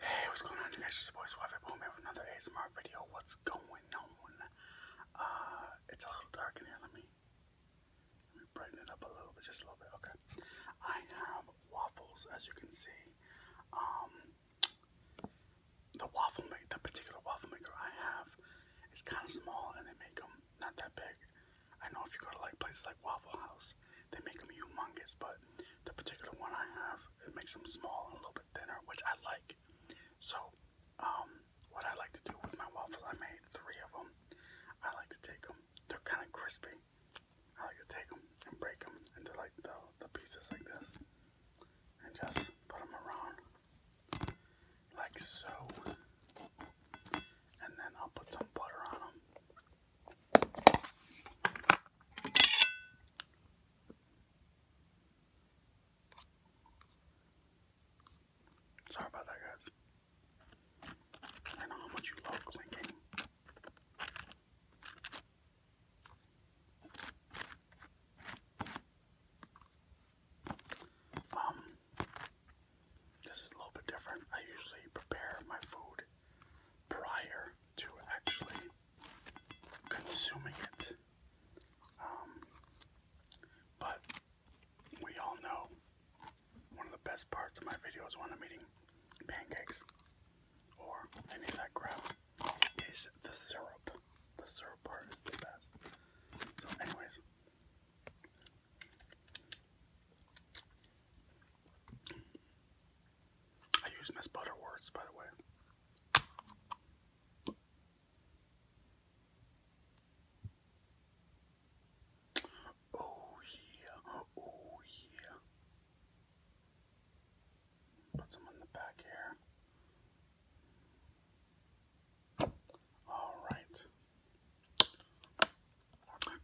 Hey, what's going on guys? It's your boy Suave Boom here another ASMR video. What's going on? Uh, it's a little dark in here. Let me, brighten it up a little bit, just a little bit. Okay. I have waffles, as you can see. Um, the waffle maker, the particular waffle maker I have is kind of small and they make them not that big. I know if you go to like places like Waffle House, size. They make them humongous, but the particular one I have, it makes them small and a little bit thinner, which I like. So, um, what I like to do with my waffles, I made three of them. I like to take them, they're kind of crispy. I like to take them and break them into like the, the pieces like this. And just put them around like so. And then I'll put some butter on them. Sorry about that, guys. I know how much you love clinking. Um, this is a little bit different. I usually prepare my food prior to actually consuming it. Um, but we all know one of the best parts of my video when I'm eating pancakes or any of that is the syrup. The syrup part is the best. So anyways, I use Miss Butter words, by the way. Oh yeah, oh yeah. Put some in the back here. All right.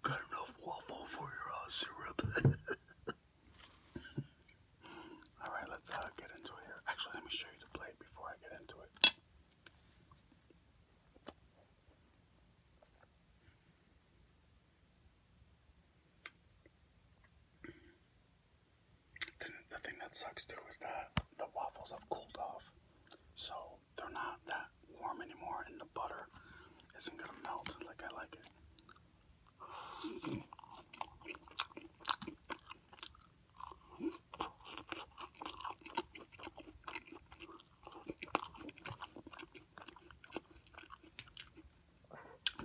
Got enough waffle for your uh, syrup. All right, let's uh, get into it here. Actually, let me show you the plate before I get into it. The thing that sucks too is that the waffles have cooled off, so they're not that warm anymore, and the butter isn't gonna melt like I like it.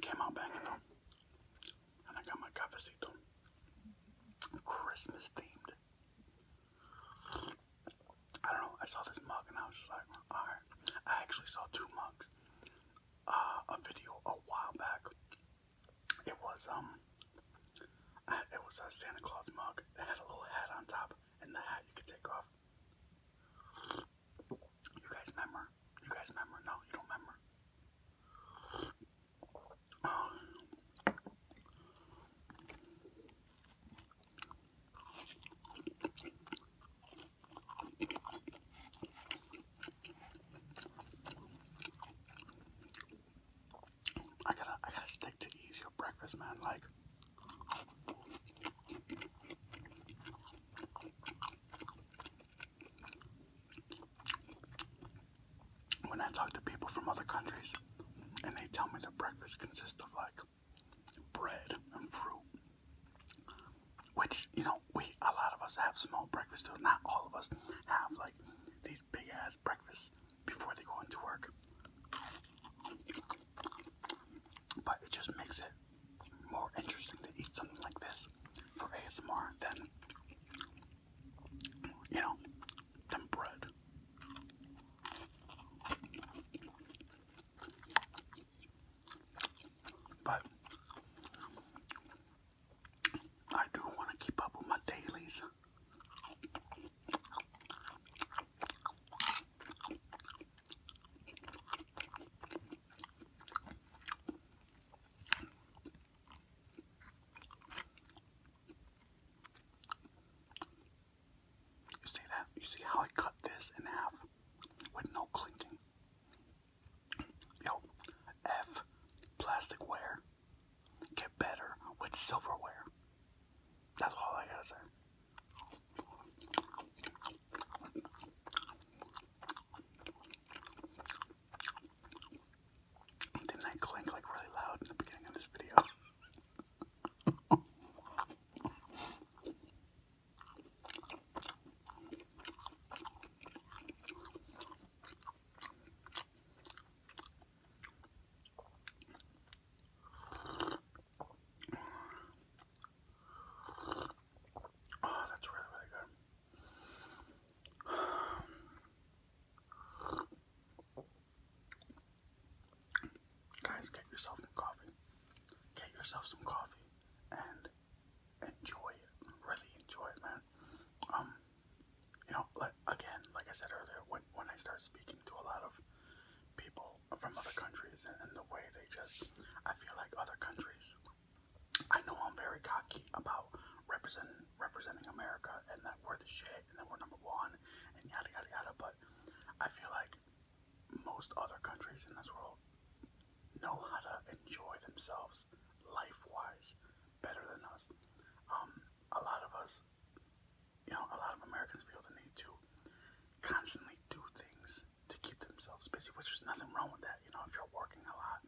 came out banging though, and I got my cafecito, Christmas themed. I don't know. I saw this mug and I was just like, all right. I actually saw two mugs. Uh, a video a while back. It was um, it was a Santa Claus mug. It had a little hat on top, and the hat you could take off. You guys remember? You guys remember? No, you don't remember. Um, I gotta, I gotta stick to easier breakfast, man. Like, when I talk to people from other countries and they tell me that breakfast consists of like bread and fruit. Which, you know, we a lot of us have small breakfasts too. Not all of us have like these big ass breakfasts before they go into work. But it just makes it more interesting to eat something like this for ASMR than you know than bread. But I do want to keep up with my dailies. You see that? You see how I cut this in half with no clinking? Yo, F plasticware. Get better with silverware. That's all I gotta say. Didn't I clink like really loud in the beginning of this video? Oh, that's really, really good. Guys, get yourself some coffee. Get yourself some coffee and enjoy it. Really enjoy it, man. Um, you know, like again, like I said earlier, when when I start speaking to a lot of people from other countries and, the way they just, I feel like other countries. I know I'm very cocky about representing representing America and that we're the shit and that we're number one and yada yada yada. But I feel like most other countries in this world know how to enjoy themselves life-wise better than us. Um, a lot of us, you know, a lot of Americans feel the need to constantly do things to keep themselves busy, which is nothing wrong with that. You know, if you're working a lot,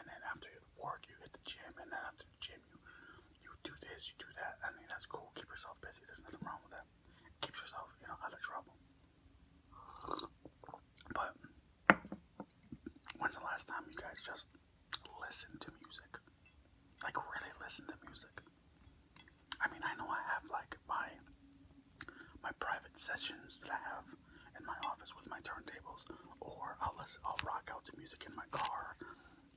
and then after work you hit the gym, and then after the gym you you do this, you do that. I mean, that's cool. Keep yourself busy. There's nothing wrong with that. It keeps yourself, you know, out of trouble. But when's the last time you guys just listened to music? Like really listen to music. I mean, I know I have like my my private sessions that I have in my office with my turntables, or I'll I'll rock out to music in my car,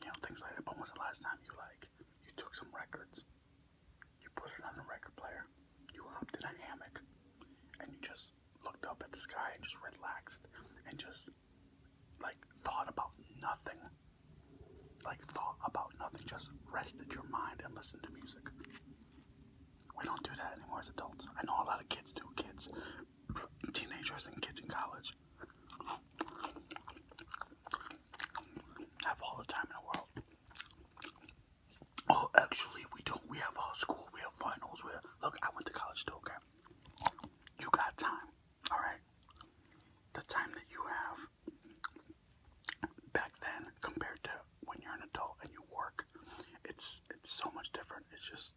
you know, things like that. But when's the last time you like you took some records, you put it on a record player, you hopped in a hammock, and you just looked up at the sky and just relaxed and just like thought about nothing. Like thought about nothing, just rested your mind and listened to music. We don't do that anymore as adults. I know a lot of kids do, kids, teenagers and kids in college. Have all the time in the world. Oh, actually, we don't. We have uh, school. We have finals. We have, look. I went to college too. Okay, you got time. All right. The time that you have back then compared to when you're an adult and you work, it's it's so much different. It's just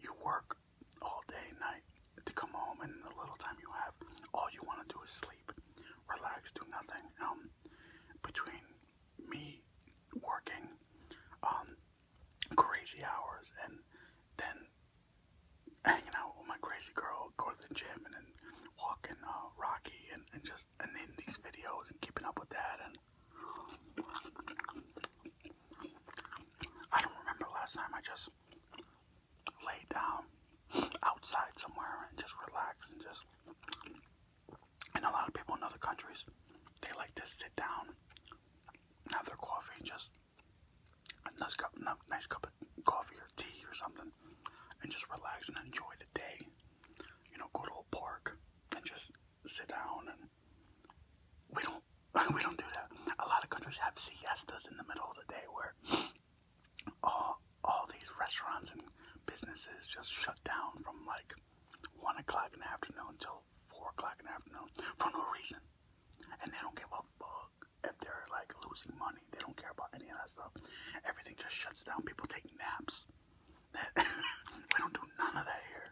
you work all day and night to come home, and the little time you have, all you want to do is sleep, relax, do nothing. Um, between me working, um, crazy hours, and then hanging out with my crazy girl, go to the gym, and then walking uh, Rocky, and, and just and then these videos and keeping up with that, and I don't remember last time I just lay down outside somewhere and just relax and just. And a lot of people in other countries, they like to sit down, have their coffee, and just a nice cup, nice cup of coffee or tea or something, and just relax and enjoy the day. You know, go to a park and just sit down and we don't we don't do that. A lot of countries have siestas in the middle of the day where all all these restaurants and businesses just shut down from like one o'clock in the afternoon until four o'clock in the afternoon for no reason. And they don't give a fuck if they're like losing money. They don't care about any of that stuff. Everything just shuts down. People take naps. we don't do none of that here.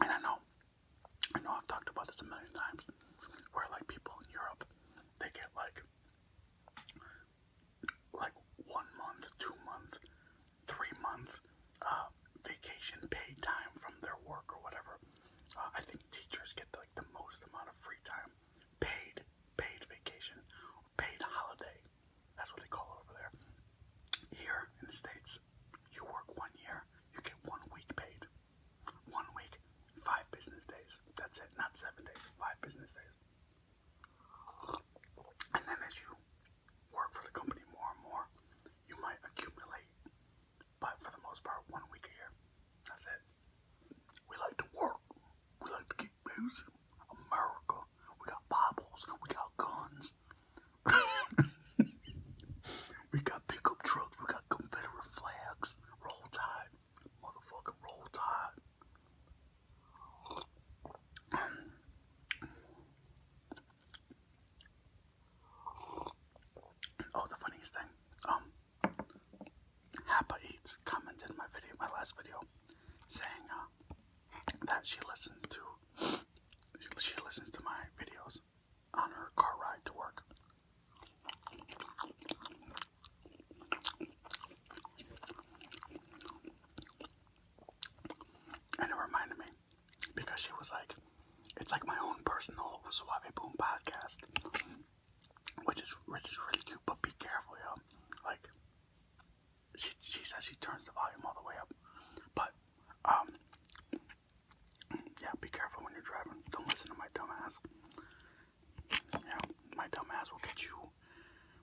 I don't know, I know I've talked about this a million times, where like people in Europe, they get like, like one month, two months, three months uh, vacation pay time from their work or whatever. Uh, I think think teachers get like the most amount of free time, paid, paid vacation, paid holiday. That's what they call it over there. Here in the States, you work one year, you get one week paid. One week, five business days. That's it, not seven days, five business days. And then as you work for the company more and more, you might accumulate but for the most part, one week a year. That's it. We like to work. We like to keep busy. America. We got Bibles. We got guns. we got pickup trucks. We got Confederate flags. Roll Tide. Motherfucking Roll Tide. Oh, the funniest thing. Um, Eats commented my video, my last video, saying uh, that she listens to she listens to my videos on her car ride to work. And it reminded me because she was like, it's like my own personal Suave Boom podcast, which is which is really cute. But be careful, yo. Like, she she says she turns the volume all the way up, but um, yeah, be careful when you're driving. Don't listen to my dumbass. Yeah, my dumb ass will get you,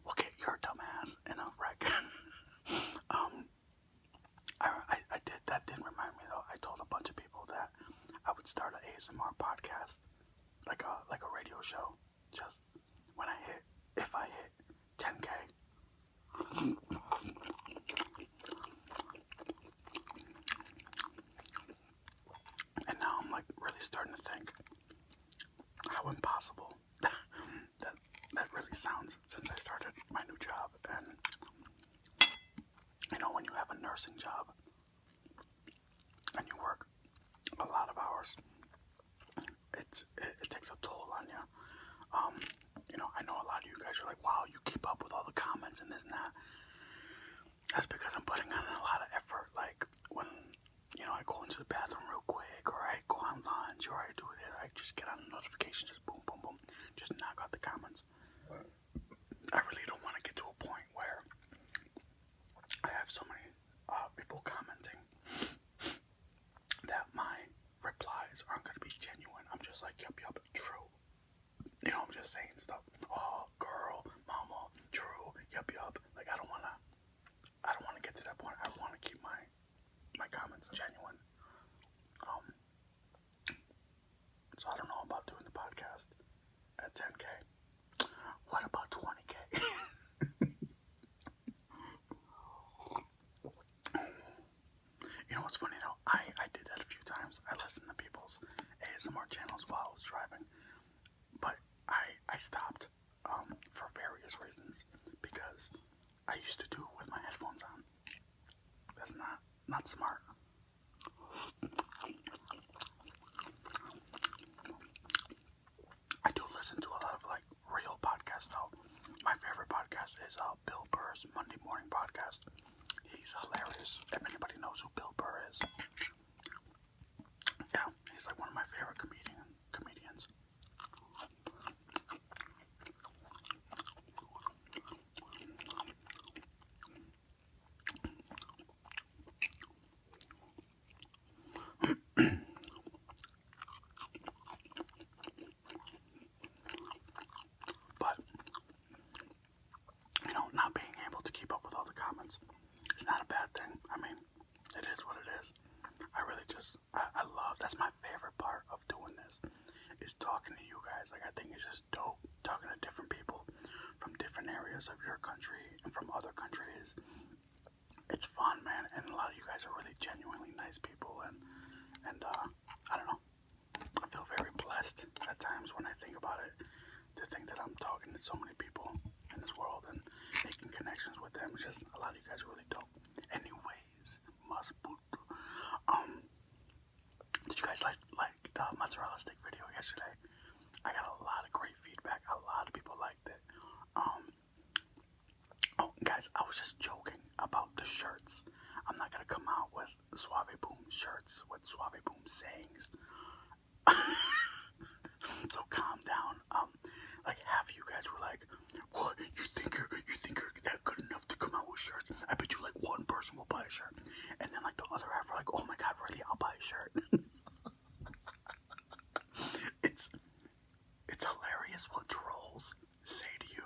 will get your dumb dumbass in a wreck. um, I, I, did that didn't remind me though. I told a bunch of people that I would start an ASMR podcast, like a like a radio show. Just when I hit, if I hit 10k, and now I'm like really starting to think how impossible that that really sounds since I started my new job and you know, when you have a nursing job and you work a lot of hours, it's, it, takes a toll on you. Um, you know, I know a lot of you guys are like, wow, you keep up with all the comments and this and that. That's because I'm putting in a lot of effort. Like, when, you know, I go into the bathroom real quick, or I go on lunch, or I do it, I just get on the notifications, just boom, boom, boom just knock out the comments. I really don't want to get to a point where I have so many uh, people commenting that my replies aren't going to be genuine. I'm just like, yup, yup, true. You know, I'm just saying stuff. Oh, girl, mama, true, yup, yup. Like, I don't want to, I don't want to get to that point. I want to keep my my comments genuine. Um, so I don't know about doing the podcast at 10k. What about 20k? you know what's funny though? I I did that a few times. I listened to people's ASMR channels while I was driving, but I I stopped um, for various reasons because I used to do it with my headphones on. That's not not smart. I do listen to a lot of like real podcasts though. My favorite podcast is uh, Bill Burr's Monday Morning Podcast. He's hilarious. If anybody knows who Bill Burr is, yeah, he's like one of my favorite comedian comedians. but you know, not being able to keep up with all the comments is not a bad thing. I mean, it is what it is. I really just I, love that's my favorite part of doing this is talking to you guys. Like I think it's just dope talking to different people from different areas of your country and from other countries. It's fun, man, and a lot of you guys are really genuinely nice people and and uh, I don't know. I feel very blessed at times when I think about it to think that I'm talking to so many people in this world and making connections with them. just a lot of you guys are really dope. Anyways, must um, did you guys like like the mozzarella stick video yesterday? I got a lot of great feedback. A lot of people liked it. Um, oh guys, I was just joking about the shirts. I'm not gonna come out with Suave Boom shirts with Suave Boom sayings. so calm down. Um, like half of you guys were like, what? You think you're you think you're that good enough to come out with shirts? I bet you like one person will buy a shirt. And then like the other half are like, oh my god, really, I'll buy a shirt. it's it's hilarious what trolls say to you.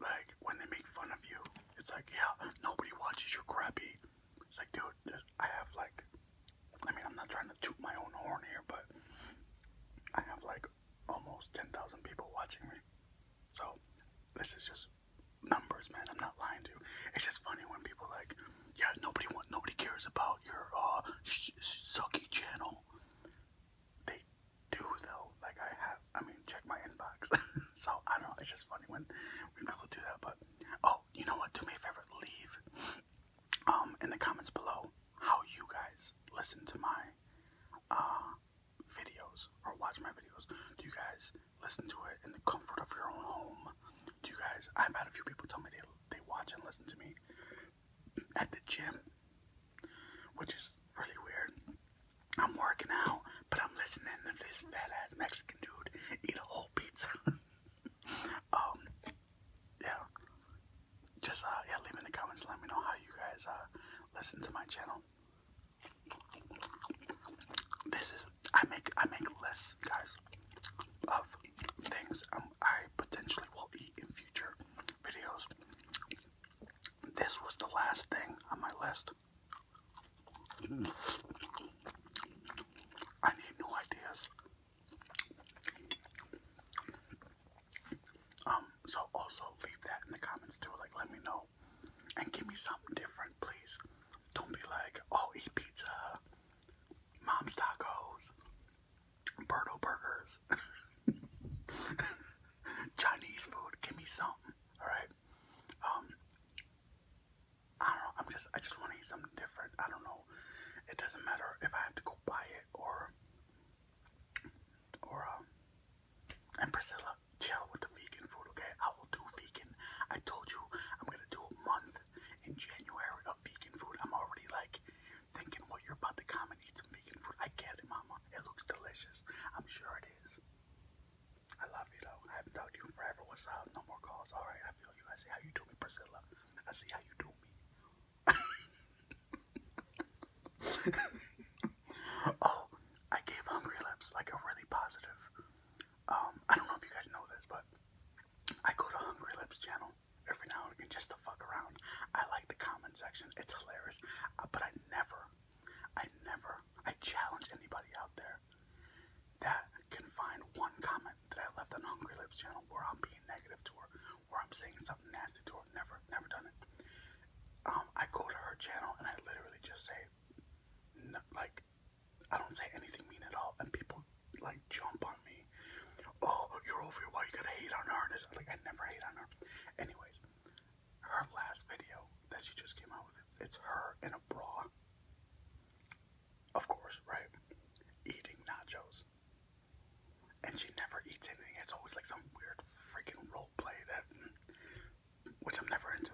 Like when they make fun of you. It's like, yeah, nobody watches your crappy. It's like, dude, I have like I mean I'm not trying to toot my own horn here, but I have like almost 10,000 people watching me. So this is just numbers, man. I'm not lying to you. It's just funny when people like, yeah, nobody wants, nobody cares about your uh, sucky channel. They do though. Like I have, I mean, check my inbox. so I don't know. It's just funny when when people do that. But oh, you know what? Do me a favor. Leave um in the comments below how you guys listen to my uh, videos or watch my videos. Do you guys listen to it in the comfort of your own home? Do you guys? I've had a few people tell me they they watch and listen to me at the gym, which is really weird. I'm working out, but I'm listening to this fat ass Mexican dude eat a whole pizza. um, yeah, just uh, yeah, leave in the comments. Let me know how you guys uh listen to my channel. This is I make I make less guys, of things um, I potentially will eat in future videos. This was the last thing on my list. I need new ideas. Um, so also leave that in the comments too. Like, let me know and give me something different, please. Don't be like, oh, eat pizza, mom's tacos, Birdo burgers, Chinese food. Give me something, all right? Um, I don't know. I'm just, I just want to eat something different. I don't know. It doesn't matter if I have to go buy it or or and Priscilla, chill with the vegan food, okay? I will do vegan. I told you I'm gonna do a month in January of vegan food. I'm already like thinking what you're about to come and eat some vegan food. I get it, mama. It looks delicious. I'm sure it is. I love you though. I haven't talked to you forever. What's up? No more calls. Alright, I feel you. I see how you do me, Priscilla. I see how you do me. oh, I gave Hungry Lips like a really positive. Um, I don't know if you guys know this, but I go to Hungry Lips channel every now and again just to fuck around. I like the comment section; it's hilarious. Uh, but I never, I never, I challenge anybody out there that can find one comment that I left on Hungry Lips channel where I'm being negative to her, where I'm saying something nasty to her. Never, never done it. Um, I go to her channel and I literally just say, no, like, I don't say anything mean at all, and people like jump on me. Oh, you're over here. Why you gotta hate on her? And it's like I never hate on her. Anyways, her last video that she just came out with, it's her in a bra. Of course, right? Eating nachos and she never eats anything. It's always like some weird freaking role play that, which I'm never into.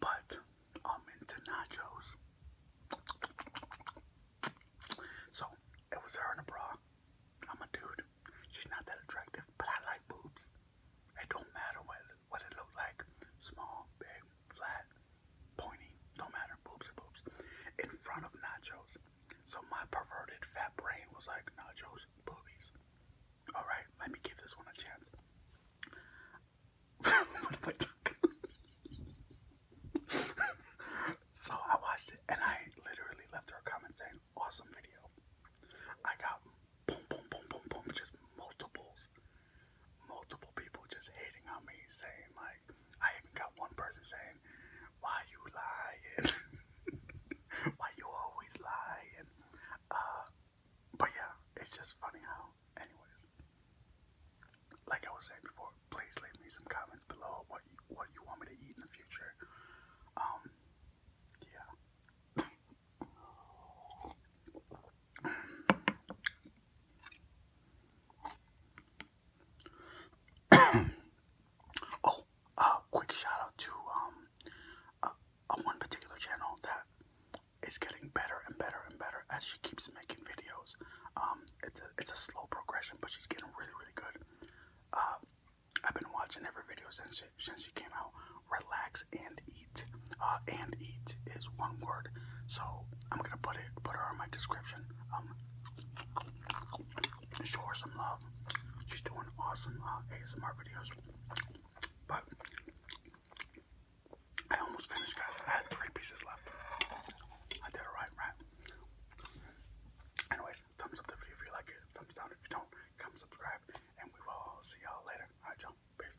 But I'm into nachos. So it was her in a bra. I'm a dude. She's not that attractive, but I like boobs. It don't matter what what it looks like. Small, big, flat pointy, no matter, boobs or boobs, in front of nachos. So my perverted fat brain was like, nachos, boobies. Alright, let me give this one a chance. so I watched it and I literally left her a comment saying, awesome video. I got boom, boom, boom, boom, boom, just multiples. Multiple people just hating on me saying like, like, I even got one person saying, "Why you lying? Why you always lying?" Uh, but yeah, it's just funny how. Anyways, like I was saying before, please leave me some comments below what what you want me to eat in the future. Um, yeah. oh, uh, quick shout out to um, uh, one particular channel that is getting better and better and better as she keeps making videos. Um, it's a it's a slow progression, but she's getting really really good. Uh, I've been watching every video since she, since she came out. Relax and eat. Uh, and eat is one word, so I'm gonna put it put her on my description. Um, show her some love. She's doing awesome uh, ASMR videos. But I almost finished, guys. I had three pieces left. I did it right, right? Anyways, thumbs up the video if you like it. Thumbs down if you don't. Come subscribe, and we will see y'all later. All right, y'all. Peace.